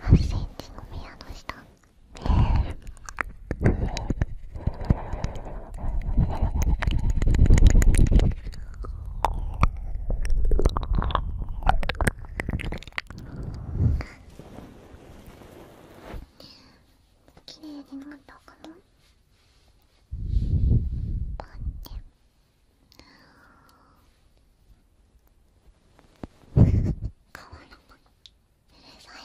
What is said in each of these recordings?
8センチの部屋の下綺麗になったかなパンって。変わらないうるさい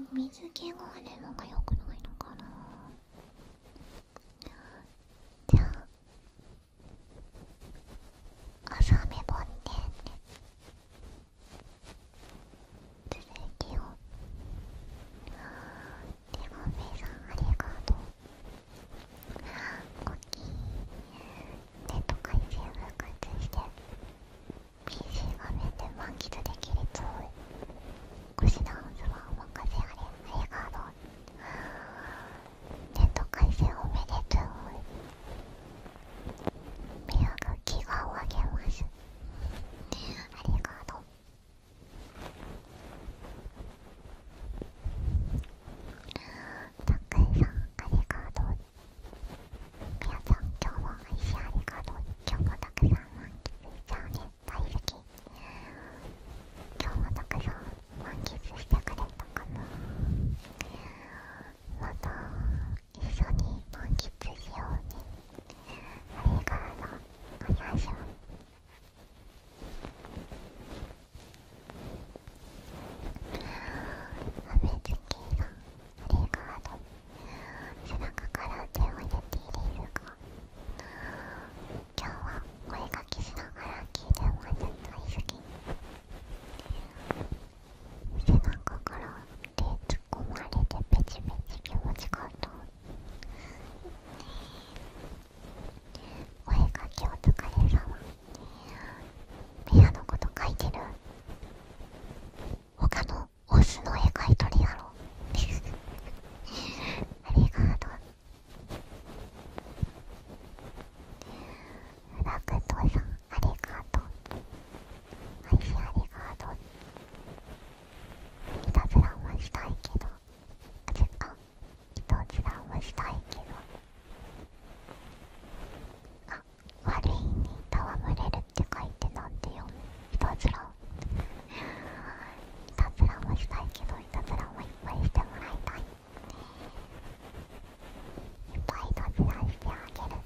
っ水気があるのがよくないのかなじゃあ朝雨ぼって、ね、続きをは、ごめさんありがとうコキネット回線復活して PC 画面で満喫できるつもり腰ダンスはお任せあれりがとうネット回線おめでとう宮気がをあげますありがとうたっくんさんありがとうみやさゃん今日も愛しありがとう今日もたくさん満喫しちゃうね大好き今日もたくさん満喫してくれたかなまた一緒に満喫しようねれからの話をあめつきさんあれから背中から手を入れているが。今日はお絵かきしながら聞いてもらっ大好き背中から突っ込まれてペチペチ気持ちかったお絵かきお疲れ様ペアのこと書いてる他のオスの絵描いとるやろありがとうラクトさんありがとうア愛されガードにいたずらはしたいけどあちあいたずらはしたいけどあ悪いに戯れるって書いてなんて読むいたずらいたずらはしたいけどいたずらもいっぱいしてもらいたいいっぱいいたずらしてあげる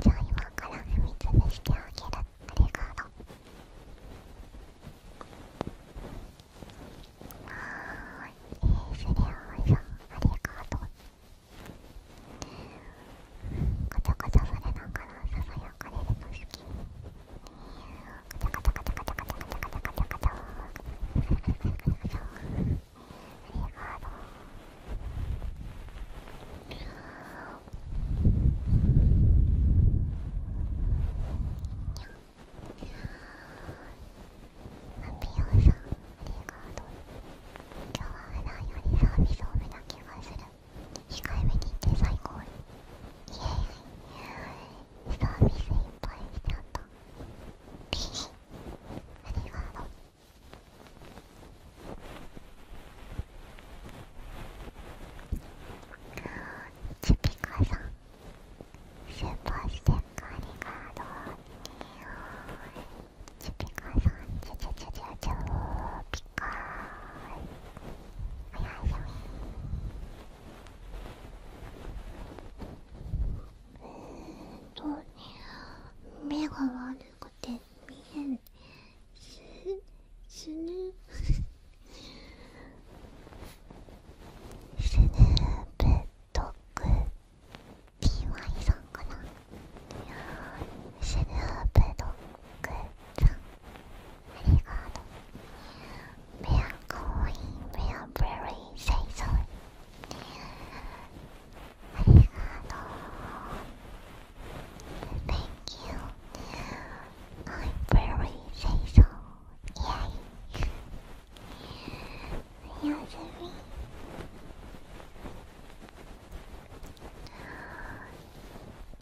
じゃあ今から踏みつぶしてあげるありがとうあーいいすりゃーいさんありがとうガチャガチャされながらささやかれるの好きガチャガチャガチャガチャガチャガチャガチャガチャガチャ今日は普段よりサービス多めな気がする控えめに言って最高にイエーイサービスいっぱいしちゃったありがとう。チュピカさん、スーパーステッカーありがとう。チュピカさん、チュチュチュチュチュピカー。おやすみ。うっと目が悪くて見えんす死ぬ死ぬベッドク PY さんかないや死ぬベッドクさんありがとうメアかわいいメアブレリー清掃 Thank you I'm very faithful Yay Yasumi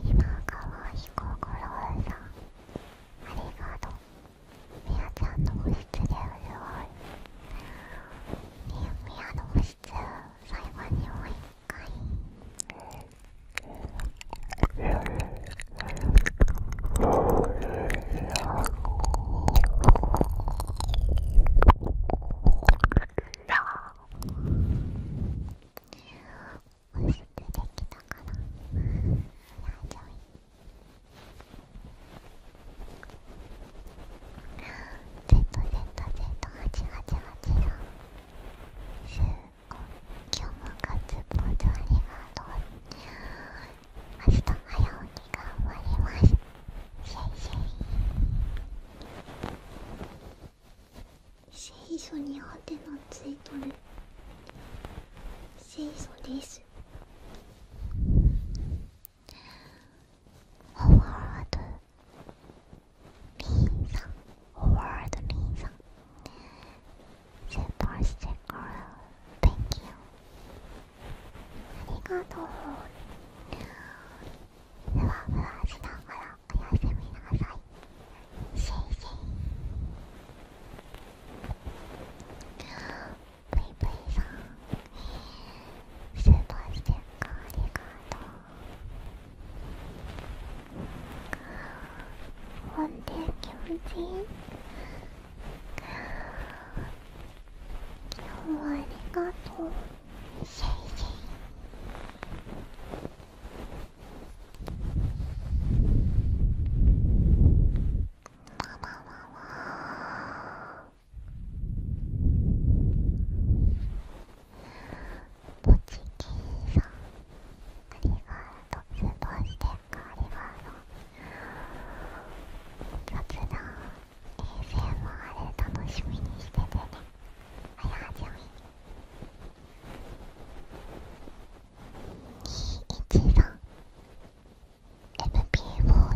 今川彦五郎さんありがとうみやちゃんの保湿ですごいみやの保湿最後にもう一回押してできたかな大丈夫今日もガッツポありがとう明日早起き頑張りますシェイシェイ聖書にハテナついとる聖書ですワードリーザワードリーザんスーパーステッカー t h a ありがとうふわふわしながらおやすみなさいシェイシプイプイさんスーパーステありがとうほんで気持ちいい今日はありがとうシェイシポチキーさんありがとうスーパーステッカーありがとう雑談 ASMR 楽しみにしててねはやはじめ21さん FPO さんからあ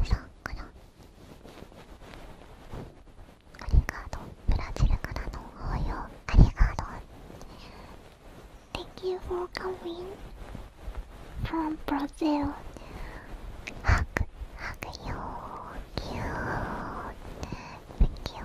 りがとうブラジルからの応用ありがとう Thank you for coming from Brazil はくはくよぎゅー Thank you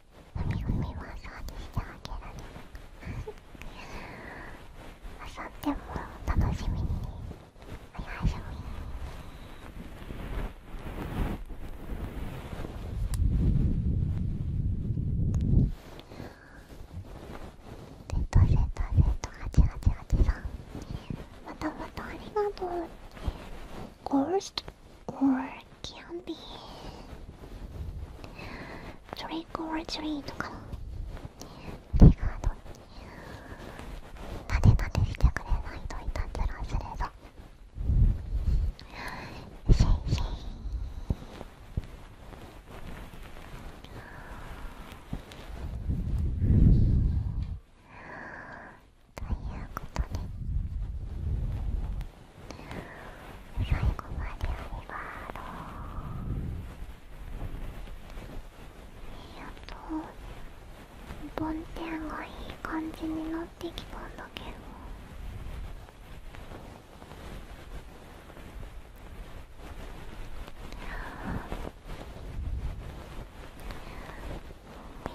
海みふみマッサージしてあげられるあさってもお楽しみにおやすみセットセットセット八八八さんまたまたありがとうゴールスト o ルキャン d y トリコ、クオーチュリーとか手がどっ立て立てしてくれないといたずらするぞせいせい。ということで最後までありがとうやと梵天がいい感じになってきたんだけど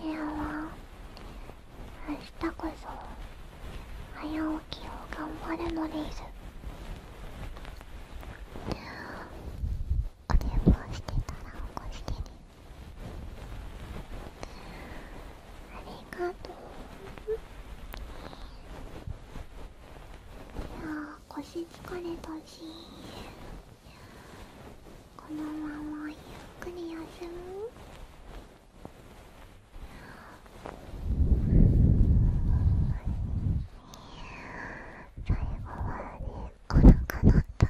部屋は明日こそ早起きを頑張るのですお電話してたら起こしてねありがとういや腰疲れたしこのままゆっくり休む最後はねお腹鳴った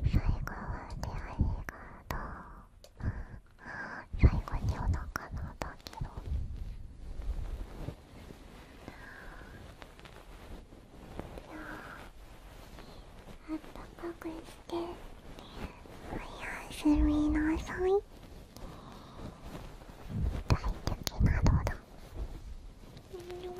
最後はねありがとう最後にお腹鳴ったけど。あったかくしておやすみなさい大敵などだまたね